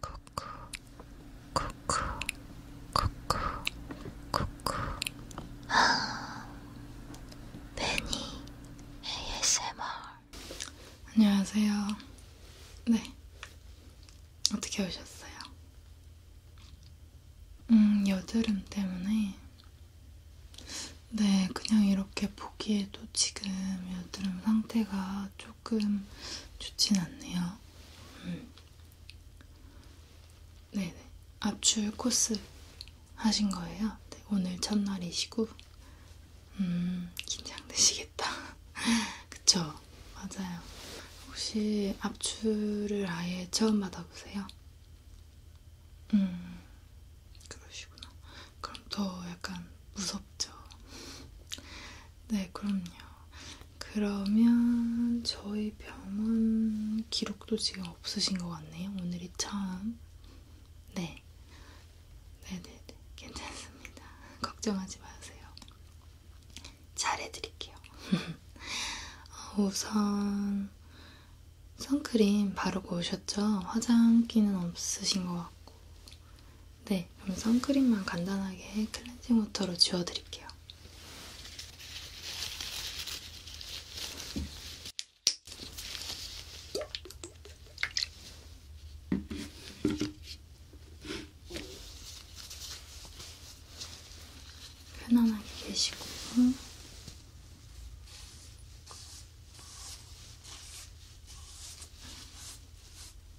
쿠쿠 쿠쿠 쿠쿠 쿠쿠 아 베니 ASMR 안녕하세요 네 어떻게 오셨어요? 음 여드름 때문에 네 그냥 이렇게 보기에도 지금 여드름 상태가 좀 조금 좋진 않네요. 음. 네네. 압출 코스 하신 거예요? 네, 오늘 첫날이시고. 음, 긴장되시겠다. 그쵸? 맞아요. 혹시 압출을 아예 처음 받아보세요? 음, 그러시구나. 그럼 더 약간 무섭죠? 네, 그럼요. 그러면 저희 병원 기록도 지금 없으신 것 같네요. 오늘이 처음. 네. 네네네. 네, 네. 괜찮습니다. 걱정하지 마세요. 잘해드릴게요. 우선 선크림 바르고 오셨죠? 화장기는 없으신 것 같고 네, 그럼 선크림만 간단하게 클렌징 워터로 지워드릴게요. 편안하게 계시고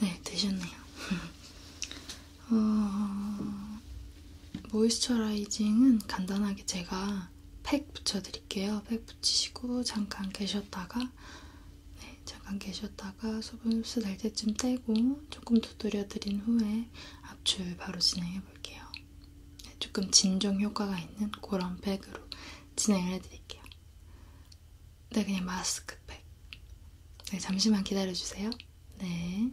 네, 되셨네요. 어, 모이스처라이징은 간단하게 제가 팩 붙여드릴게요. 팩 붙이시고 잠깐 계셨다가 네, 잠깐 계셨다가 수분 흡수될 때쯤 떼고 조금 두드려 드린 후에 압출 바로 진행해 볼게요. 네, 조금 진정 효과가 있는 그런 팩으로 진행을 해드릴게요. 네, 그냥 마스크팩. 네, 잠시만 기다려주세요. 네.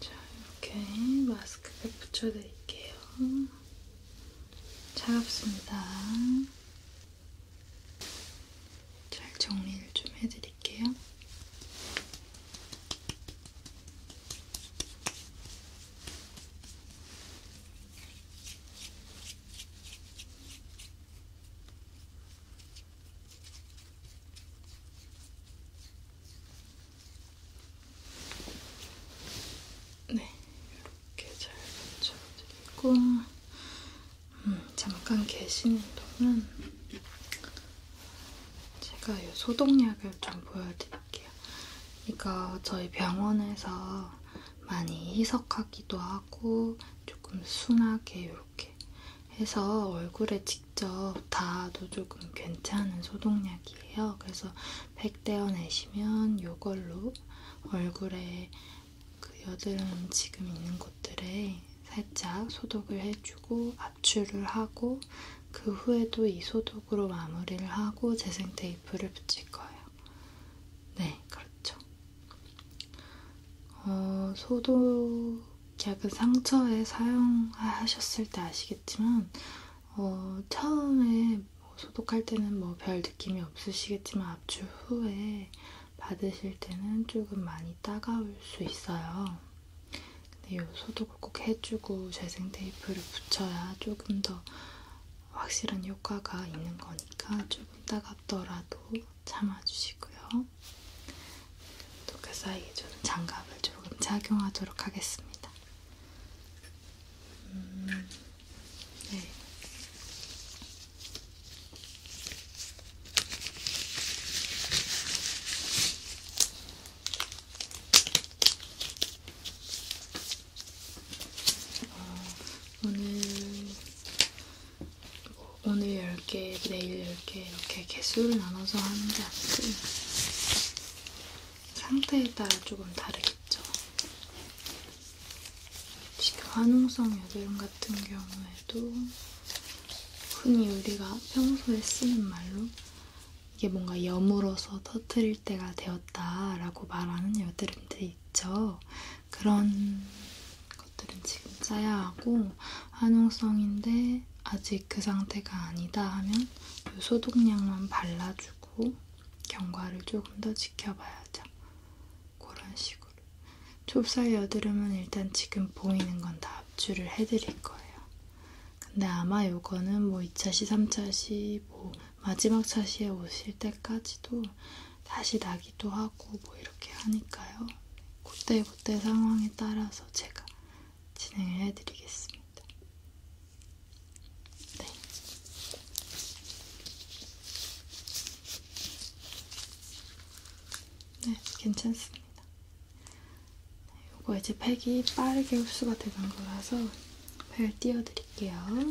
자, 이렇게 마스크팩 붙여드릴게요. 차갑습니다. 잘 정리를 좀 해드릴게요. 네, 이렇게 잘 붙여드리고 음, 잠깐 계시는 동안 제가 이 소독약을 좀 보여드릴게요. 이거 저희 병원에서 많이 희석하기도 하고 하고 조금 순하게 이렇게 해서 얼굴에 직접 닿아도 조금 괜찮은 소독약이에요. 그래서 팩 떼어내시면 이걸로 얼굴에 그 여드름 지금 있는 곳들에 살짝 소독을 해주고 압출을 하고 그 후에도 이 소독으로 마무리를 하고 재생테이프를 붙일 거예요. 네, 그렇죠. 어, 소독약은 상처에 사용하셨을 때 아시겠지만, 어, 처음에 뭐 소독할 때는 뭐 별 느낌이 없으시겠지만, 압출 후에 받으실 때는 조금 많이 따가울 수 있어요. 근데 이 소독을 꼭 해주고 재생 테이프를 붙여야 조금 더 확실한 효과가 있는 거니까 조금 따갑더라도 참아주시고요. 또 그 사이에 저는 장갑을 조금 착용하도록 하겠습니다. 음, 네. 어, 오늘 오늘 10개, 내일 10개 이렇게 개수를 나눠서 하는데 아무튼 상태에 따라 조금 다르겠죠. 지금 한홍성 여드름 같은 경우에도 흔히 우리가 평소에 쓰는 말로 이게 뭔가 여물어서 터트릴 때가 되었다라고 말하는 여드름들이 있죠. 그런 것들은 지금 짜야 하고 한용성인데 아직 그 상태가 아니다 하면 이 소독약만 발라주고 경과를 조금 더 지켜봐야죠. 그런 식으로. 좁쌀 여드름은 일단 지금 보이는 건 다 압출을 해드릴 거예요. 근데 아마 요거는 뭐 2차시, 3차시, 뭐 마지막 차시에 오실 때까지도 다시 나기도 하고 뭐 이렇게 하니까요. 그때 그때 상황에 따라서 제가 진행을 해드리겠습니다. 네. 네, 괜찮습니다. 이거 네, 이제 팩이 빠르게 흡수가 되는 거라서 팩을 띄워드릴게요.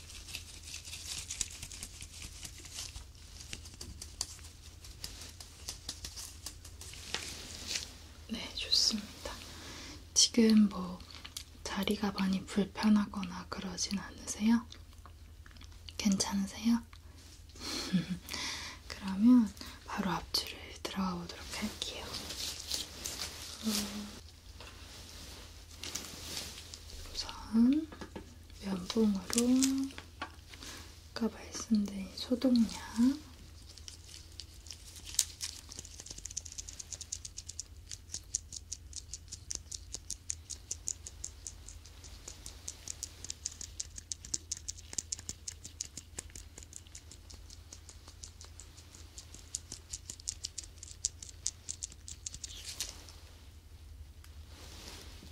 네, 좋습니다. 지금 뭐 다리가 많이 불편하거나 그러진 않으세요? 괜찮으세요? 그러면 바로 앞줄을 들어가 보도록 할게요. 음, 우선 면봉으로 아까 말씀드린 소독약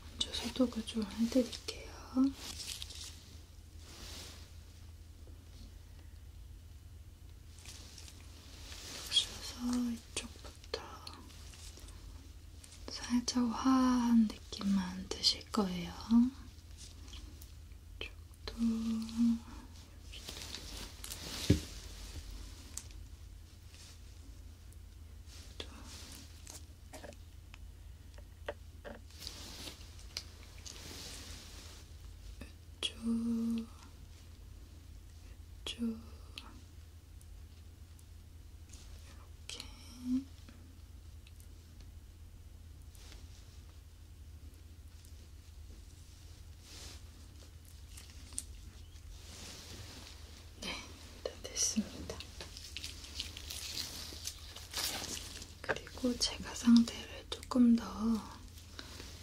먼저 소독을 좀 해드릴게요. 겹쳐서 이쪽부터 살짝 화한 느낌만 드실 거예요. 이쪽도 여기도 쭈, 쭈, 이렇게. 네, 다 됐습니다. 그리고 제가 상태를 조금 더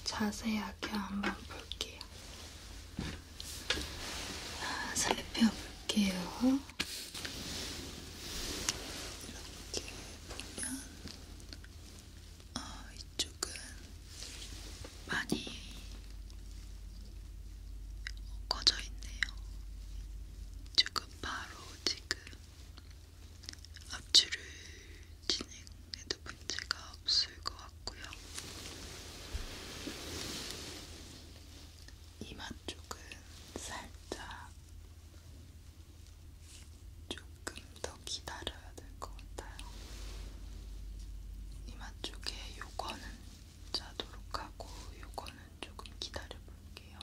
자세하게 한번 볼게요. 아, 살펴볼게요. 이렇게 보면 어, 이쪽은 많이 꺼져 있네요. 이쪽은 바로 지금 압출을 진행해도 문제가 없을 것 같고요. 이마 쪽은 살짝 조금 더 기다려야 될것 같아요. 이마 쪽에 요거는 자도록 하고 요거는 조금 기다려 볼게요.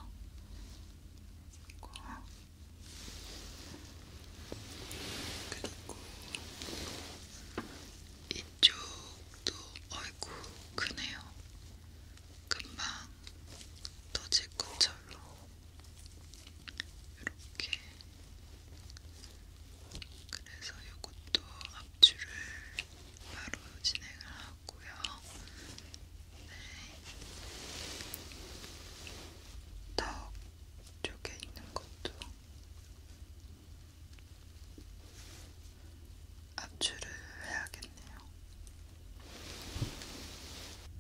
그리고 이쪽도 얼굴 크네요. 금방 터질 것처럼 이렇게 그래서 이것도 압출을 바로 진행을 하고요. 네. 턱 쪽에 있는 것도 압출을 해야겠네요.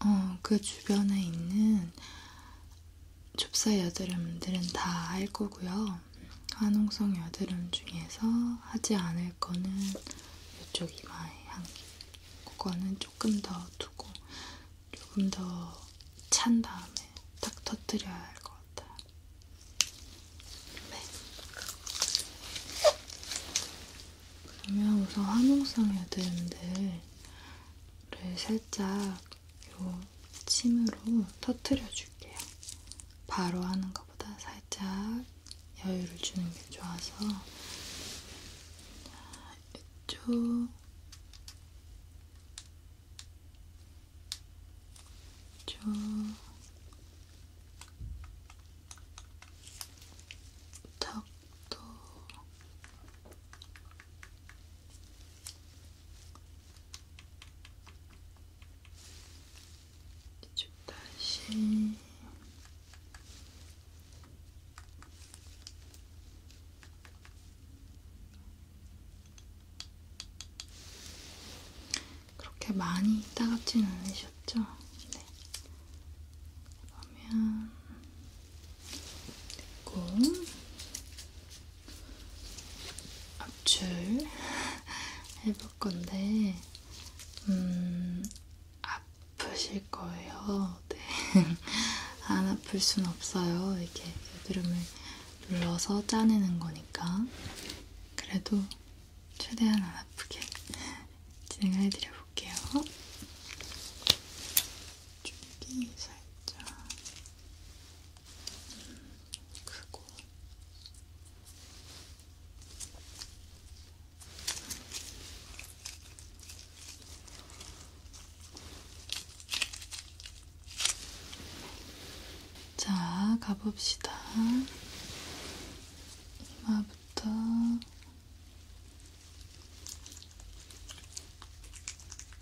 어, 그 주변에 있는 좁쌀 여드름들은 다 할 거고요. 화농성 여드름 중에서 하지 않을 거는 이쪽 이마의 향기. 그거는 조금 더 두고 조금 더 찬 다음에 탁 터뜨려야 할 것 같아요. 네. 그러면 우선 화농성 여드름들을 살짝 요 침으로 터트려 줄게요. 바로 하는 것보다 살짝 여유를 주는 게 좋아서 이쪽 이쪽 턱도 이쪽 다시 그렇게 많이 따갑진 않으셨죠? 네. 그러면 됐고 압출 해볼 건데, 음, 아프실 거예요. 네. 안 아플 순 없어요. 이게 여드름을 눌러서 짜내는 거니까. 그래도 최대한 안 아프게 진행해 드려 볼게요. 여기 살짝 그리고 자, 가봅시다. 이마부터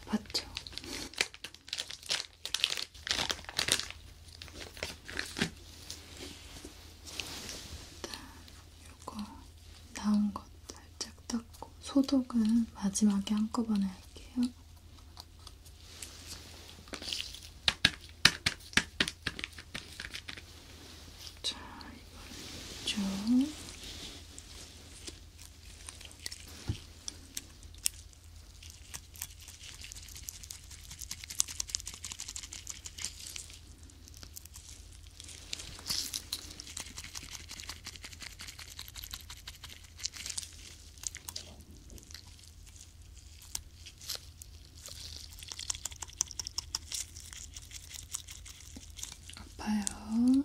아팠죠. 일단 요거 나온 것 살짝 닦고 소독은 마지막에 한꺼번에 할게요. 자, 이걸 이쪽. 아파요.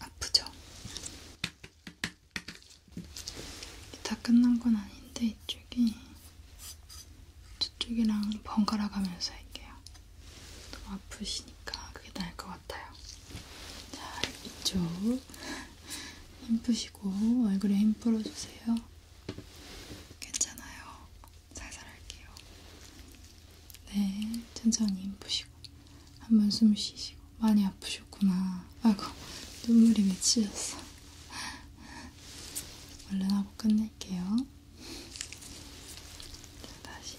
아프죠? 다 끝난 건 아닌데 이쪽이 저쪽이랑 번갈아 가면서 할게요. 너무 아프시니까 그게 나을 것 같아요. 자, 이쪽 힘 푸시고 얼굴에 힘 풀어주세요. 괜찮아요. 살살 할게요. 네, 천천히 인푸시고 한 번 숨 쉬시고 많이 아프셨구나. 아이고, 눈물이 맺히셨어. 얼른 하고 끝낼게요. 자, 다시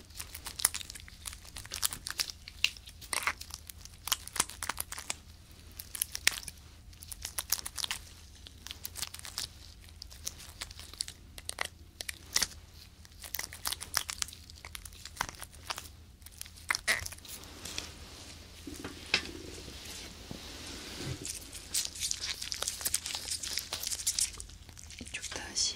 이쪽 다시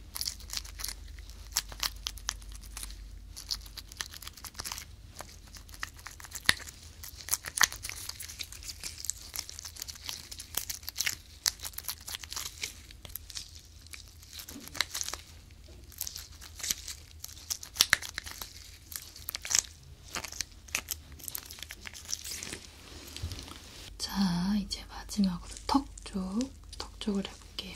자, 이제 마지막으로 턱 쪽, 턱 쪽을 볼게요.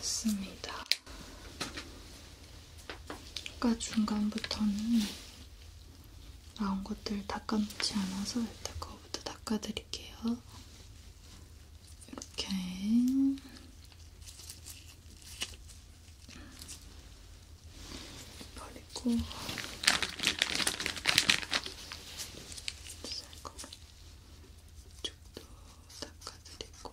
됐습니다. 아까 중간부터는 나온 것들 닦아놓지 않아서 일단 그거부터 닦아드릴게요. 이렇게 버리고 이쪽도 닦아드리고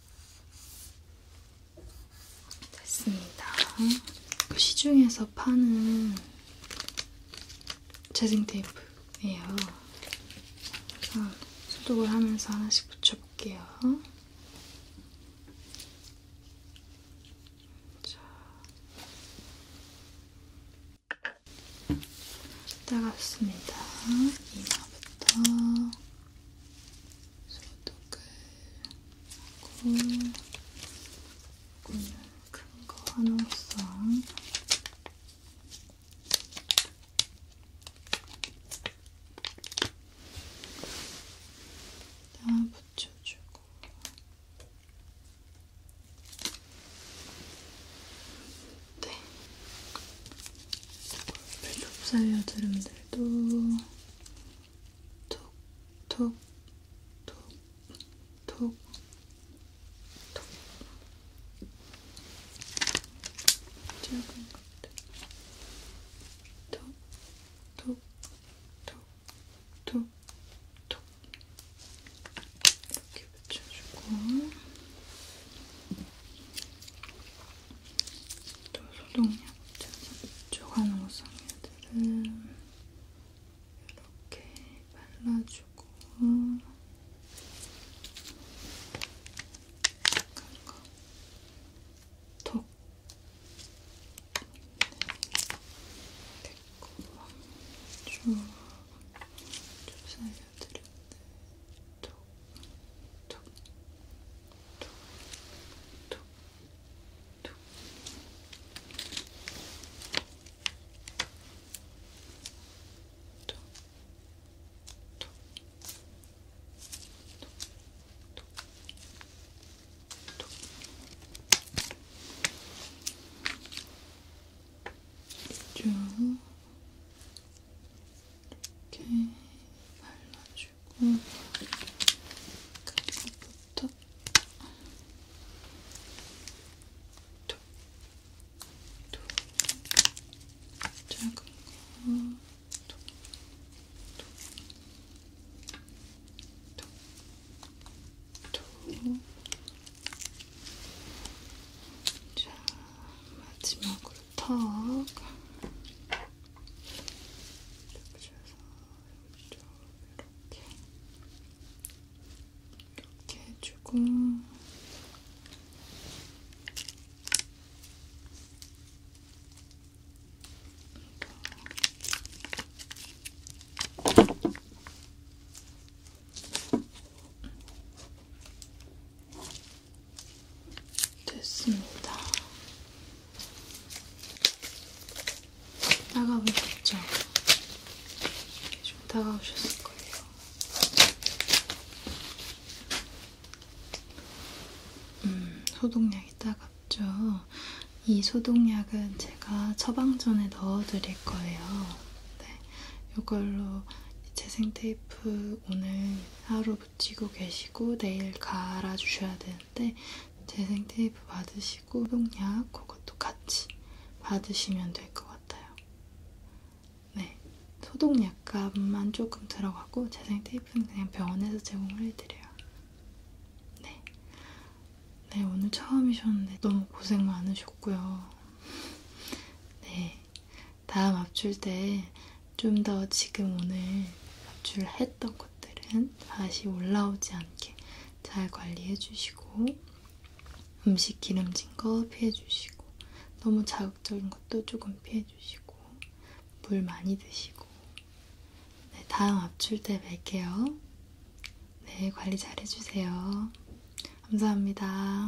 됐습니다. 그 시중에서 파는 재생 테이프예요. 그래서 소독을 하면서 하나씩 붙여볼게요. 자. 따갑습니다. 이마부터 소독을 하고 오늘 큰거 하나상 다 붙여주고 네 골프 좁쌀 여드름들 오늘도 톡톡 톡 톡톡 톡, 톡. 작은 것들 톡톡톡 톡 톡 이렇게 붙여주고 또 소독약 붙여서 이쪽 한우성 애들은 이렇게 발라주고 턱 됐고 쭉, 쭉 살려드렸는데 쭉 이렇게 발라주고 해가지고 그부터 또, 또 작은 거, 또, 또, 또, 또, 자 마지막으로 턱 이렇게 이렇게 해주고 이렇게 됐습니다. 따가우셨죠? 좀 따가우셨을 거예요. 음, 소독약이 따갑죠? 이 소독약은 제가 처방전에 넣어드릴 거예요. 네, 이걸로 재생테이프 오늘 하루 붙이고 계시고 내일 갈아주셔야 되는데 재생 테이프 받으시고 소독약 그것도 같이 받으시면 될 것 같아요. 네, 소독약값만 조금 들어가고 재생 테이프는 그냥 병원에서 제공을 해드려요. 네, 네 오늘 처음이셨는데 너무 고생 많으셨고요. 네, 다음 압출 때 좀 더 지금 오늘 압출했던 것들은 다시 올라오지 않게 잘 관리해주시고 음식 기름진 거 피해주시고 너무 자극적인 것도 조금 피해주시고 물 많이 드시고 네, 다음 압출 때 뵐게요. 네, 관리 잘 해주세요. 감사합니다.